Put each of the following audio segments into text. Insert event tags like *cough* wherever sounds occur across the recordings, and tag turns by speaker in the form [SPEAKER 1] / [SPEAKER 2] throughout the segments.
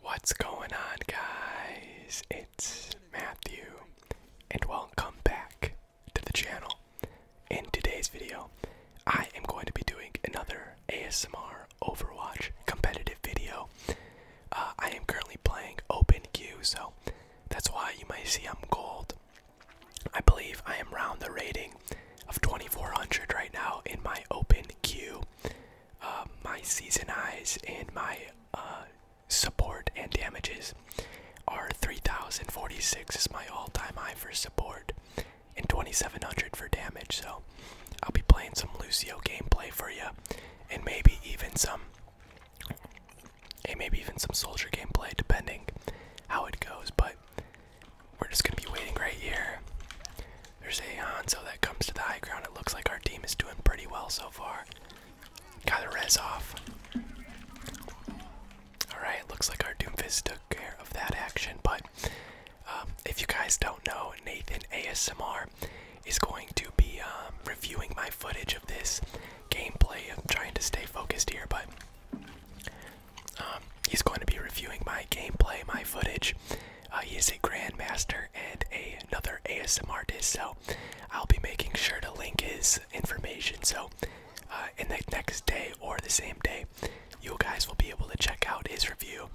[SPEAKER 1] What's going on, guys? It's Matthew, and welcome back to the channel. In today's video, I am going to be doing another ASMR Overwatch competitive video. Uh, I am currently playing Open Q, so that's why you might see I'm gold. I believe I am around the rating of 2400 right now in my Open Q. Uh, my season highs and my uh, support and damages are 3,046 is my all-time high for support and 2,700 for damage. So I'll be playing some Lucio gameplay for you, and maybe even some, and maybe even some soldier gameplay, depending how it goes. But we're just gonna be waiting right here there's a Hanzo that comes to the high ground. It looks like our team is doing pretty well so far. Got a res off. Alright, looks like our Doomfist took care of that action, but um, if you guys don't know, Nathan ASMR is going to be um, reviewing my footage of this gameplay. I'm trying to stay focused here, but um, he's going to be reviewing my gameplay, my footage uh, he is a grandmaster and another ASMR artist, so I'll be making sure to link his information. So, uh, in the next day or the same day, you guys will be able to check out his review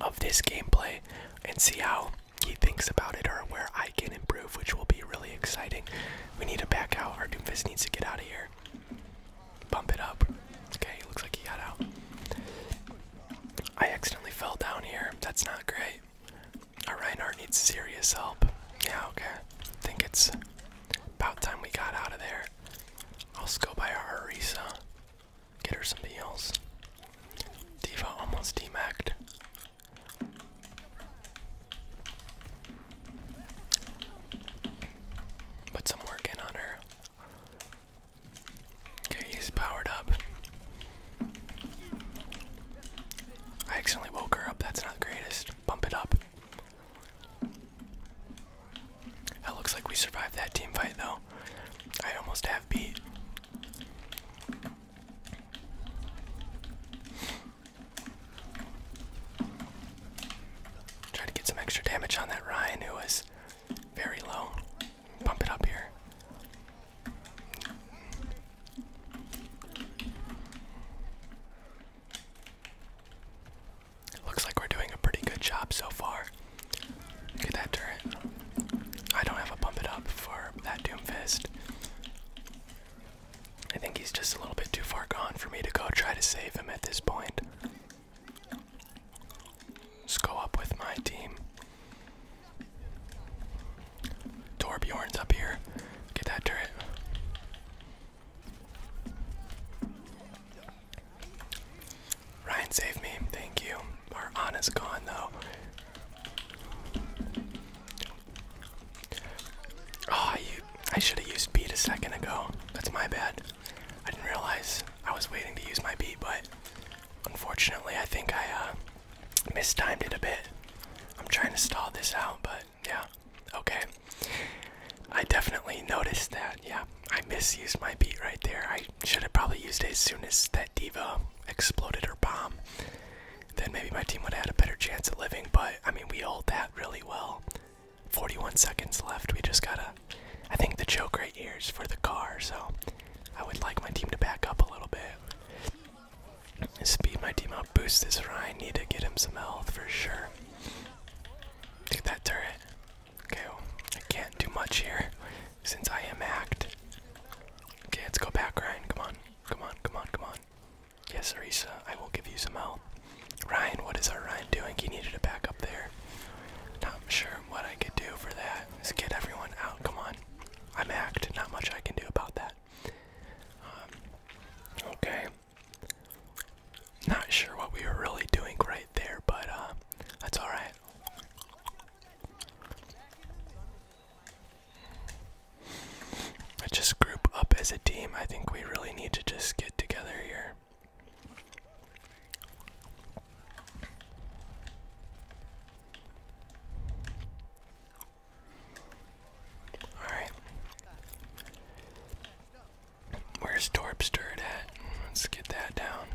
[SPEAKER 1] of this gameplay and see how he thinks about it or where I can improve, which will be really exciting. We need to back out. Our Doomfist needs to get out of here. Bump it up. Okay, looks like he got out. I accidentally fell down here. That's not great. Our Reinhardt needs serious help. Yeah, okay. I think it's about time we got out of there. I'll go by our Arisa. Get her some heals. Diva almost demacked. Put some work in on her. Okay, he's powered up. I accidentally woke her up. That's not the greatest. Bump it up. That looks like we survived that team fight, though. I almost have beat. Try to get some extra damage on that Ryan, who is very low bump it up here. Looks like we're doing a pretty good job so far. Get that turret. I don't have a bump it up for that Doomfist. I think he's just a little bit too far gone for me to go try to save him at this point. Let's go up with my team. Torbjorn's up here. Get that turret. Ryan, save me. Thank you. Our Ana's gone, though. Oh, I, I should have used beat a second ago. That's my bad. I didn't realize I was waiting to use my beat, but Unfortunately, I think I uh, mistimed it a bit. I'm trying to stall this out, but yeah, okay. I definitely noticed that. Yeah, I misused my beat right there. I should have probably used it as soon as that diva exploded her bomb. Then maybe my team would have had a better chance at living. But I mean, we hold that really well. 41 seconds left. We just gotta I think the joke right here is for the car, so I would like my team to back up a little bit. Speed my team up, boost this Ryan, need to get him some health for sure. Take that turret. Okay, I can't do much here since I am act. Okay, let's go back, Ryan. Come on, come on, come on, come on. Yes, Arisa, I will give you some help. Ryan, what is our Ryan doing? He needed to back up there. Not sure what I could do for that is get everyone out. Come on. I'm hacked. Not much I can do about that. Um, okay. Not sure what we were really doing right there, but uh, that's alright. I just group up as a team. I think we really need to just get together here. Alright. Where's Torp stirred at? Let's get that down.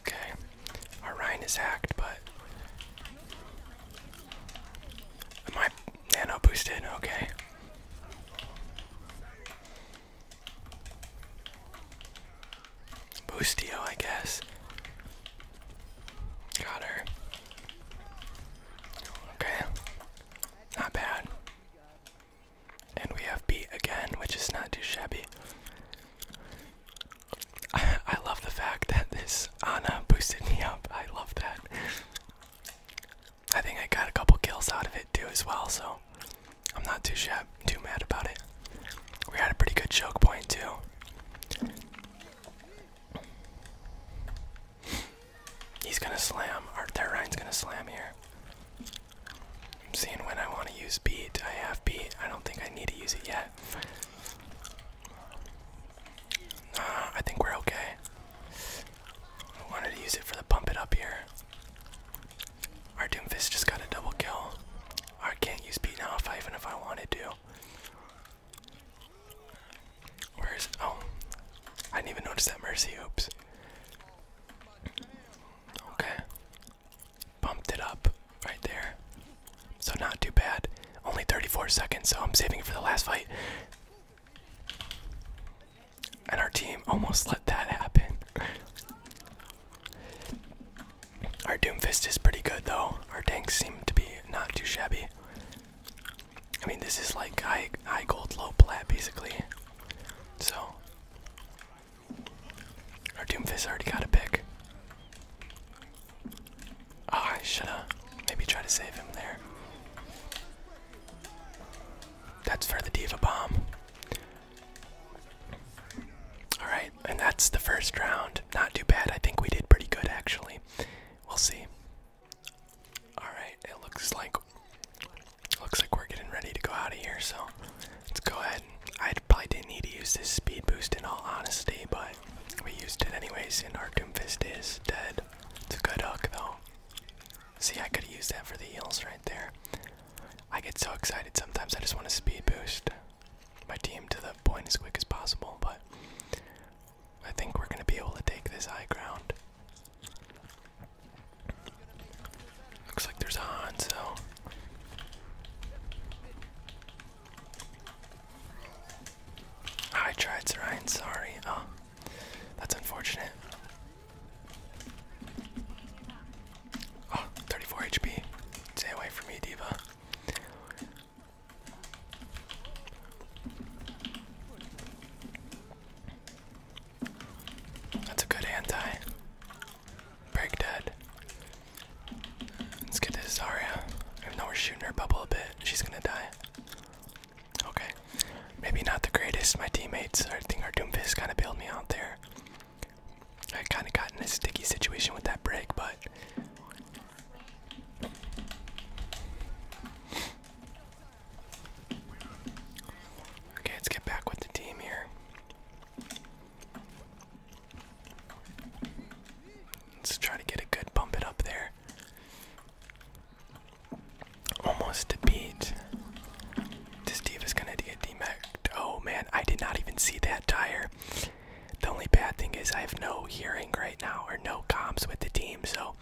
[SPEAKER 1] Okay. Our Rhine is hacked, but Am nano boosted? Okay. Boostio, I guess. Got her. Okay. Not bad. And we have B again, which is not too shabby. I, *laughs* I love the fact that this Ana boosted me up. I love that. I think I got a couple kills out of it too as well, so I'm not too shy, too mad about it. We had a pretty good choke point too. He's gonna slam. Our Terrine's gonna slam here. I'm seeing when I want to use beat. I have beat. I don't think I need to use it yet. I think we're okay. I wanted to use it for the pump it up here. Our Doomfist just got a double kill. I can't use beat now if I even if I wanted to. Where is oh I didn't even notice that mercy oops. Okay. Bumped it up right there. So not too bad. Only 34 seconds, so I'm saving it for the last fight. And our team almost let that happen. Our Doomfist is pretty good though. Our tanks seem to be not too shabby. I mean, this is like high, high gold, low plat basically. So, our Doomfist already got a pick. Ah, I should've maybe try to save him there. That's for the Diva Bomb. Alright, and that's the first round. Not too bad. I think we did pretty good, actually. We'll see. Alright, it looks like looks like we're getting ready to go out of here, so let's go ahead. I probably didn't need to use this speed boost in all honesty, but we used it anyways, and our doom fist is dead. It's a good hook, though. See, I could use that for the eels right there. I get so excited sometimes. I just want to speed boost my team to the point as quick as possible, but I think we're going to be able to take this high ground. Looks like there's a Hanzo. I tried Ryan, sorry. Oh. That's unfortunate. Oh, 34 HP. Stay away from me, Diva. That's a good anti. Break dead. Let's get this, Zarya. I know we're shooting her bubble a bit. She's gonna die. Okay, maybe not the greatest. My teammates, I think our Doomfist kind of bailed me out there. I kind of got in a sticky situation with that break, but. Okay, let's get back with the team here. Let's try to get a good bump it up there. Almost a beat. This diva is gonna get demacked. Oh man, I did not even see that tire. The only bad thing is I have no hearing right now or no comms with the team, so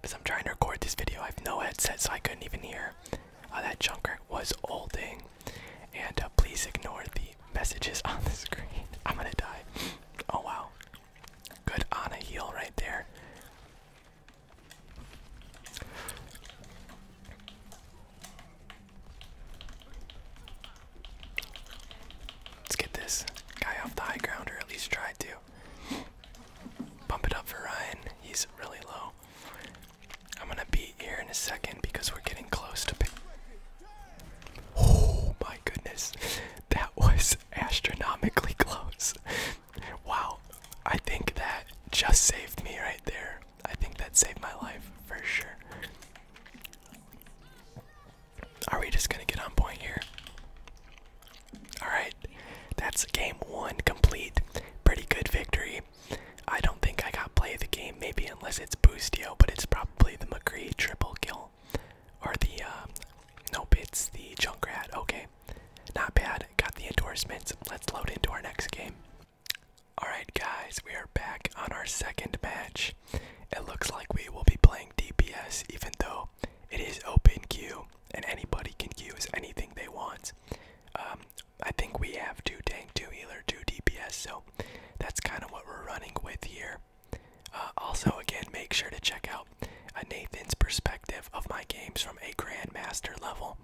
[SPEAKER 1] because I'm trying to record this video, I have no headset, so I couldn't even hear. Uh, that junker was holding, and uh, please ignore the messages *laughs* on the screen. I'm gonna die. Oh wow, Good on a heel right there. Let's get this guy off the high ground, or at least try to. Pump it up for Ryan. He's really low. I'm gonna beat here in a second because we're getting close to. oh my goodness, *laughs* that was astronomically *laughs* close. wow, I think that just saved me right there. I think that saved my life for sure. Are we just gonna get on point here? Alright, that's game one complete. Pretty good victory. I don't think I got play the game, maybe unless it's Bustio, but it's probably the McCree triple kill or the uh, nope, it's the Junkrat. Okay, not bad. Got the endorsements. Let's load into our next game. All right, guys, we are back on our second match. It looks like we will be playing DPS, even though it is open queue and anybody can use anything they want. Um, I think we have two tank, two healer, two DPS, so that's kind of what we're running with here. Uh, also, again, make sure to check out uh, Nathan's perspective of my games from a grandmaster level,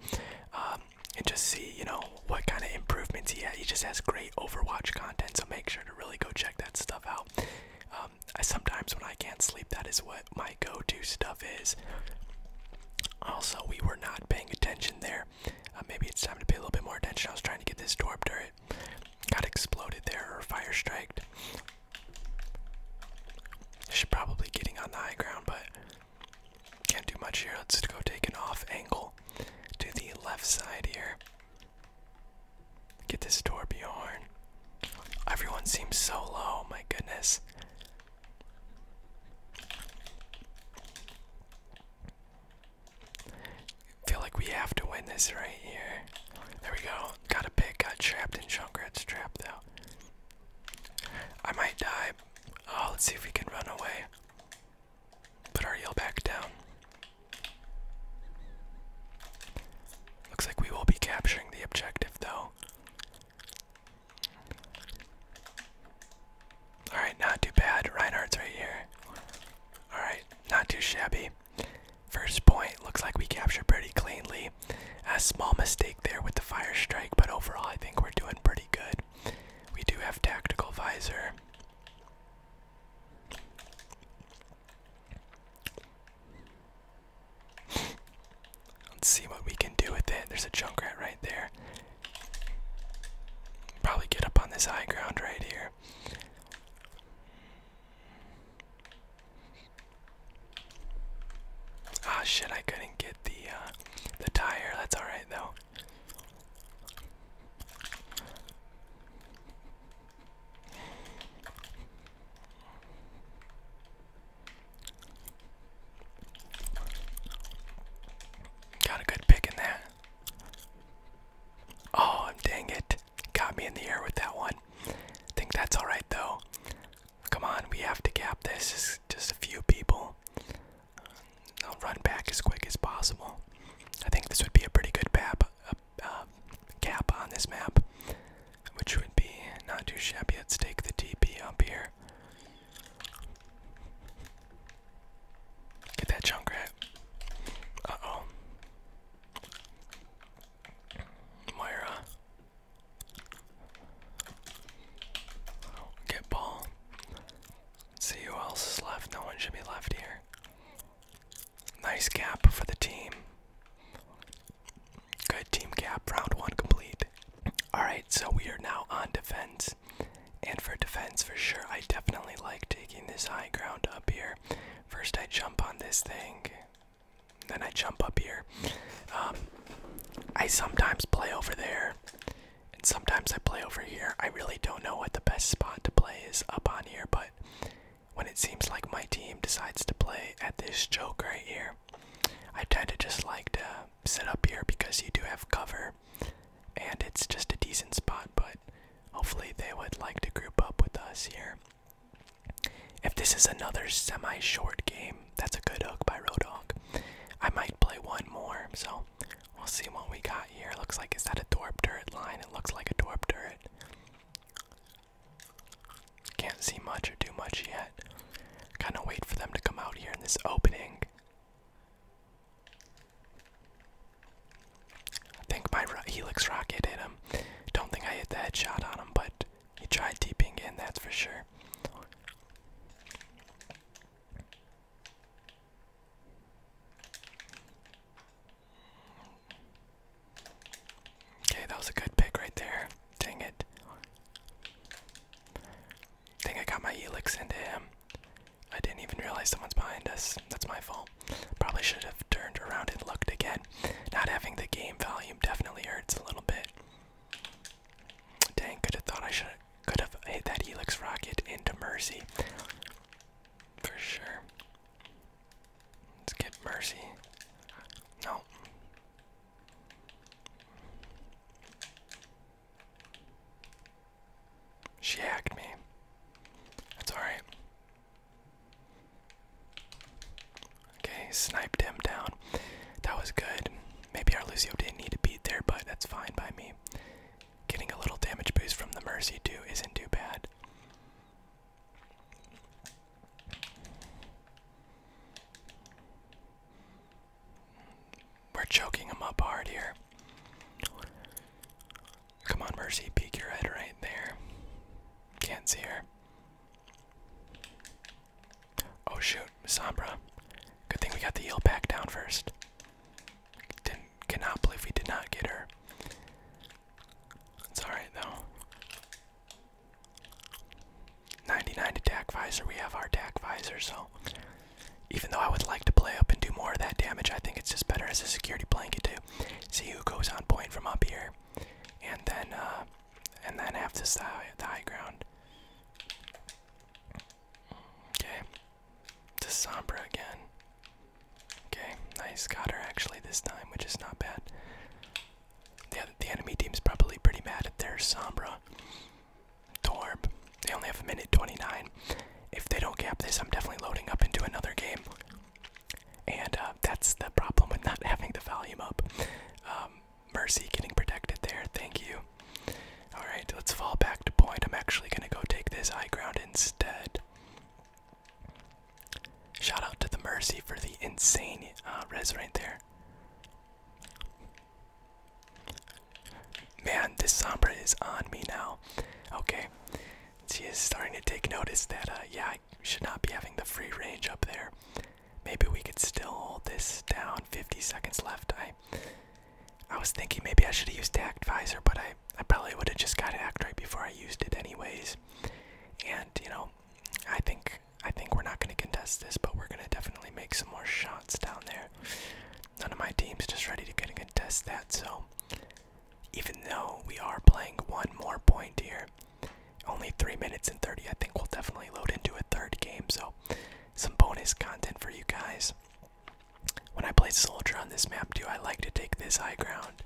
[SPEAKER 1] um, and just see you know what kind of improvements he had. He just has great Overwatch content, so make sure to really go check that stuff out. Um, I, sometimes when I can't sleep, that is what my go-to stuff is. Also, we were not paying attention there. Uh, maybe it's time to pay a little bit more attention. I was trying to get this door open. Got exploded there or fire striked. Should probably getting on the high ground, but can't do much here. Let's go take an off angle to the left side here. Get this Torbjorn. Everyone seems so low, my goodness. Feel like we have to win this right here. There we go. Got a pig, got trapped in Junkrat's trap though. I might die. Oh, let's see if we can run away. Put our heel back down. Looks like we will be capturing the objective though. Alright, not too bad. Reinhardt's right here. Alright, not too shabby. First point looks like we captured pretty cleanly. A small mistake there with the fire strike, but overall I think we're doing pretty good. We do have tactical visor. Let's see what we can do with it. There's a Junkrat right there. Probably get up on this high ground right here. Ah oh, shit, I couldn't get the uh, the tire. That's all right though. Got a good pick in that. Oh, dang it. Got me in the air with that one. I think that's alright though. Come on, we have to cap this. It's just a few people. I'll run back as quick as possible. I think this would be a pretty good cap on this map, which would be not too shabby. let take the TP up here. Get that junk rat. Uh oh. Moira. Get ball. see who else is left. No one should be left here. Nice cap for the team. Good team cap. Round one complete. Alright, so we are now on defense. And for defense, for sure, I definitely like taking this high ground up here. First, I jump on this thing. Then I jump up here. Um, I sometimes play over there, and sometimes I play over here. I really don't know what the best spot to play is up on here, but when it seems like my team decides to play at this joke right here, I tend to just like to sit up here because you do have cover, and it's just a decent spot, but hopefully they would like to group up with us here. If this is another semi short game, that's a good hook by Rodog. I might play one more, so we'll see what we got here. Looks like, is that a dwarf turret line? It looks like a dwarf turret. Can't see much or do much yet. Kind of wait for them to come out here in this opening. I think my Helix Rocket hit him. Don't think I hit the headshot on him, but he tried deeping in, that's for sure. Okay, that was a good pick right there. Dang it. think I got my helix into him. I didn't even realize someone's behind us. That's my fault. Probably should have turned around and looked again. Not having the game volume definitely hurts a little bit. Dang, could have thought I should could have hit that Helix rocket into Mercy. For sure. Let's get Mercy. No. She hacked me. That's alright. Okay, sniped him down. That was good. Maybe our Lucio didn't need a beat there, but that's fine by me. Getting a little damage boost from the Mercy, too, isn't too bad. We're choking him up hard here. Come on, Mercy, peek your head right there. Can't see her. Oh shoot, Sombra. Good thing we got the yield back down first. cannot believe we did not get her. It's alright though. 99 attack visor, we have our attack visor, so even though I would like to play up and do more of that damage, I think it's just better as a security blanket too see who goes on point from up here, and then uh, and then have this uh, the high ground. Okay, to Sombra again. Okay, nice. Got her actually this time, which is not bad. The, the enemy team's probably pretty mad at their Sombra. Torb. They only have a minute 29. If they don't cap this, I'm definitely loading up into another game. And uh, that's the problem with not *laughs* having the volume up. Um, mercy getting protected there. Thank you. Alright, let's fall back to point. I'm actually going to go take this high ground instead. Shout out to the Mercy for the insane uh, res right there. Man, this Sombra is on me now. Okay, she is starting to take notice that, uh, yeah, I should not be having the free range up there. Maybe we could still hold this down. 50 seconds left. I, I was thinking maybe I should have used Tact Visor, but I, I probably would have just got Act right before I used it, anyways. And you know, I think I think we're not going to contest this, but we're going to definitely make some more shots down there. None of my team's just ready to get contest that, so even though we are playing one more point here, only three minutes and 30, I think we'll definitely load into a third game. So, some bonus content for you guys. When I play Soldier on this map, too, I like to take this high ground.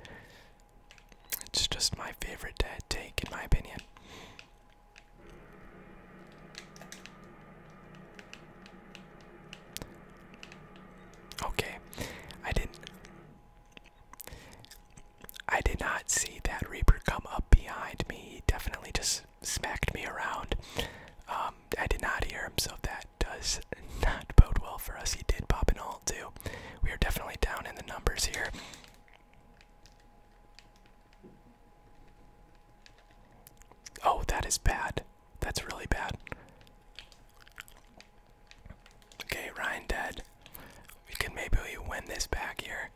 [SPEAKER 1] It's just my favorite to take, in my opinion. Okay, I didn't. I did not see that Reaper come up behind me. He definitely just smacked me around. Um, I did not hear him, so that does *laughs* not bode well for us. He did pop an all too. We are definitely down in the numbers here. Oh, that is bad. That's really bad. Okay, Ryan dead. We can maybe win this back here.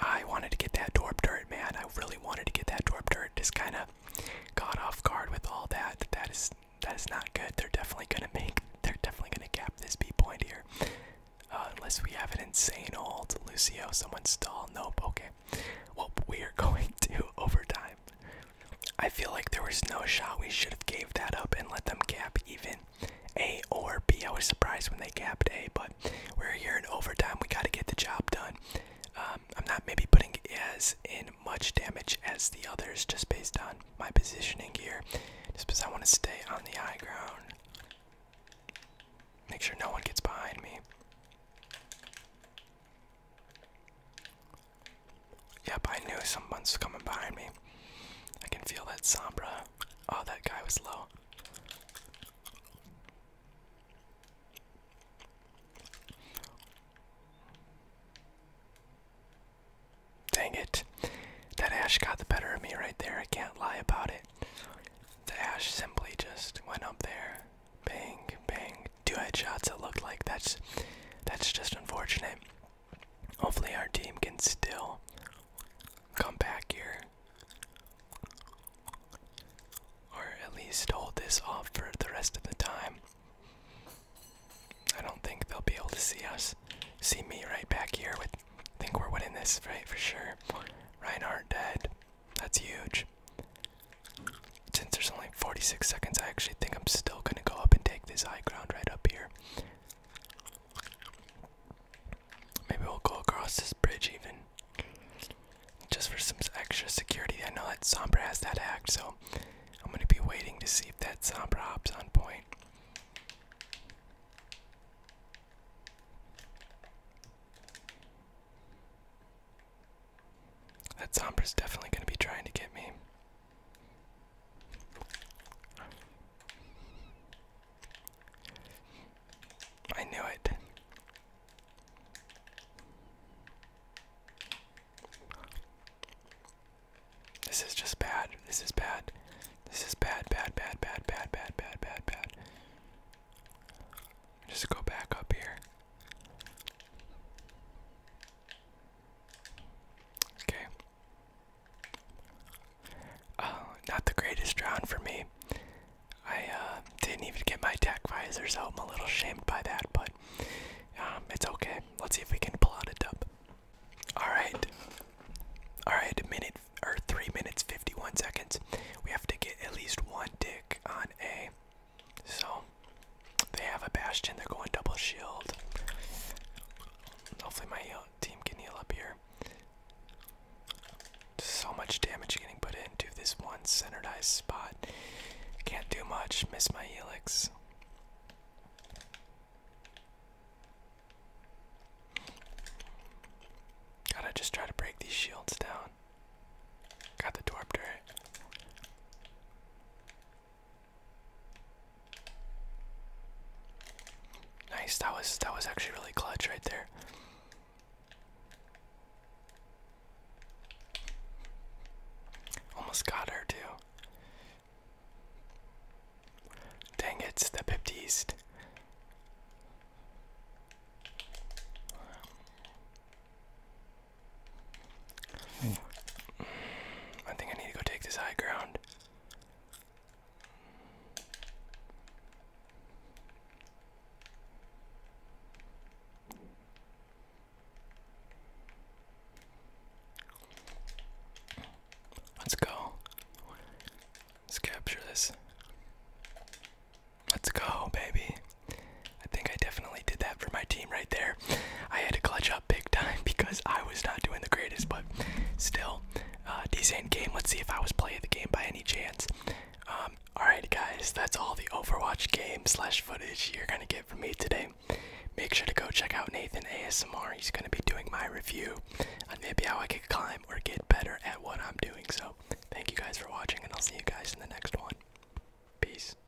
[SPEAKER 1] I wanted to get that Dorp Dirt, man. I really wanted to get that Dorp Dirt. Just kind of got off guard with all that. That is that is not good. They're definitely gonna make. They're definitely gonna cap this B point here, uh, unless we have an insane old Lucio. Someone stall. Nope. Okay. Well, we are *laughs* going to *laughs* overtime. I feel like there was no shot we should have gave that up and let them cap even A or B. I was surprised when they capped A, but we're here in overtime. We got to get the job done. Um, I'm not maybe putting as in much damage as the others just based on my positioning here, just because I want to stay on the high ground. Make sure no one gets behind me. Yep, I knew someone's coming behind me. I can feel that Sombra. Oh, that guy was low. Dang it. That Ash got the better of me right there. I can't lie about it. The Ash simply just went up there. Bang, bang, two headshots it looked like that's that's just unfortunate. Hopefully our team can still come back here. Or at least hold this off for the rest of the time. I don't think they'll be able to see us. See me right back here with I think we're winning this, fight For sure. Reinhardt dead. That's huge since there's only 46 seconds, I actually think I'm still gonna go up and take this high ground right up here. Maybe we'll go across this bridge even. Just for some extra security. I know that Sombra has that act, so I'm gonna be waiting to see if that Sombra hops on point. That Sombra's definitely gonna be trying to get me. I knew it. This is just bad. This is bad. This is bad, bad, bad, bad, bad, bad, bad, bad, Just go back up here. Okay. Uh, not the greatest round for me. I uh, didn't even get my tech visor, so I'm a little ashamed by that, but um, it's okay. Let's see if we can pull out a dub. Alright. Alright, a minute or three minutes, 51 seconds. We have to get at least one dick on a so they have a bastion. They're going double shield. Hopefully my uh, team can heal up here. So much damage getting put into this one centeredized spot. Can't do much. Miss my helix. Gotta just try to break these shields down. Got the torp turret. Nice. That was that was actually really clutch right there. Almost got her too. Dang it's the Pipped East. Hmm. I think I need to go take this high ground. Let's go. Let's capture this. Let's go, baby. I think I definitely did that for my team right there. I had to clutch up big time *laughs* because I was not doing the greatest, but still, uh, decent game. Let's see if I was playing the game by any chance. Um, Alright guys, that's all the Overwatch game slash footage you're gonna get from me today. Make sure to go check out Nathan ASMR. He's gonna be doing my review on maybe how I could climb or get better at what I'm doing. So thank you guys for watching and I'll see you guys in the next one. Peace.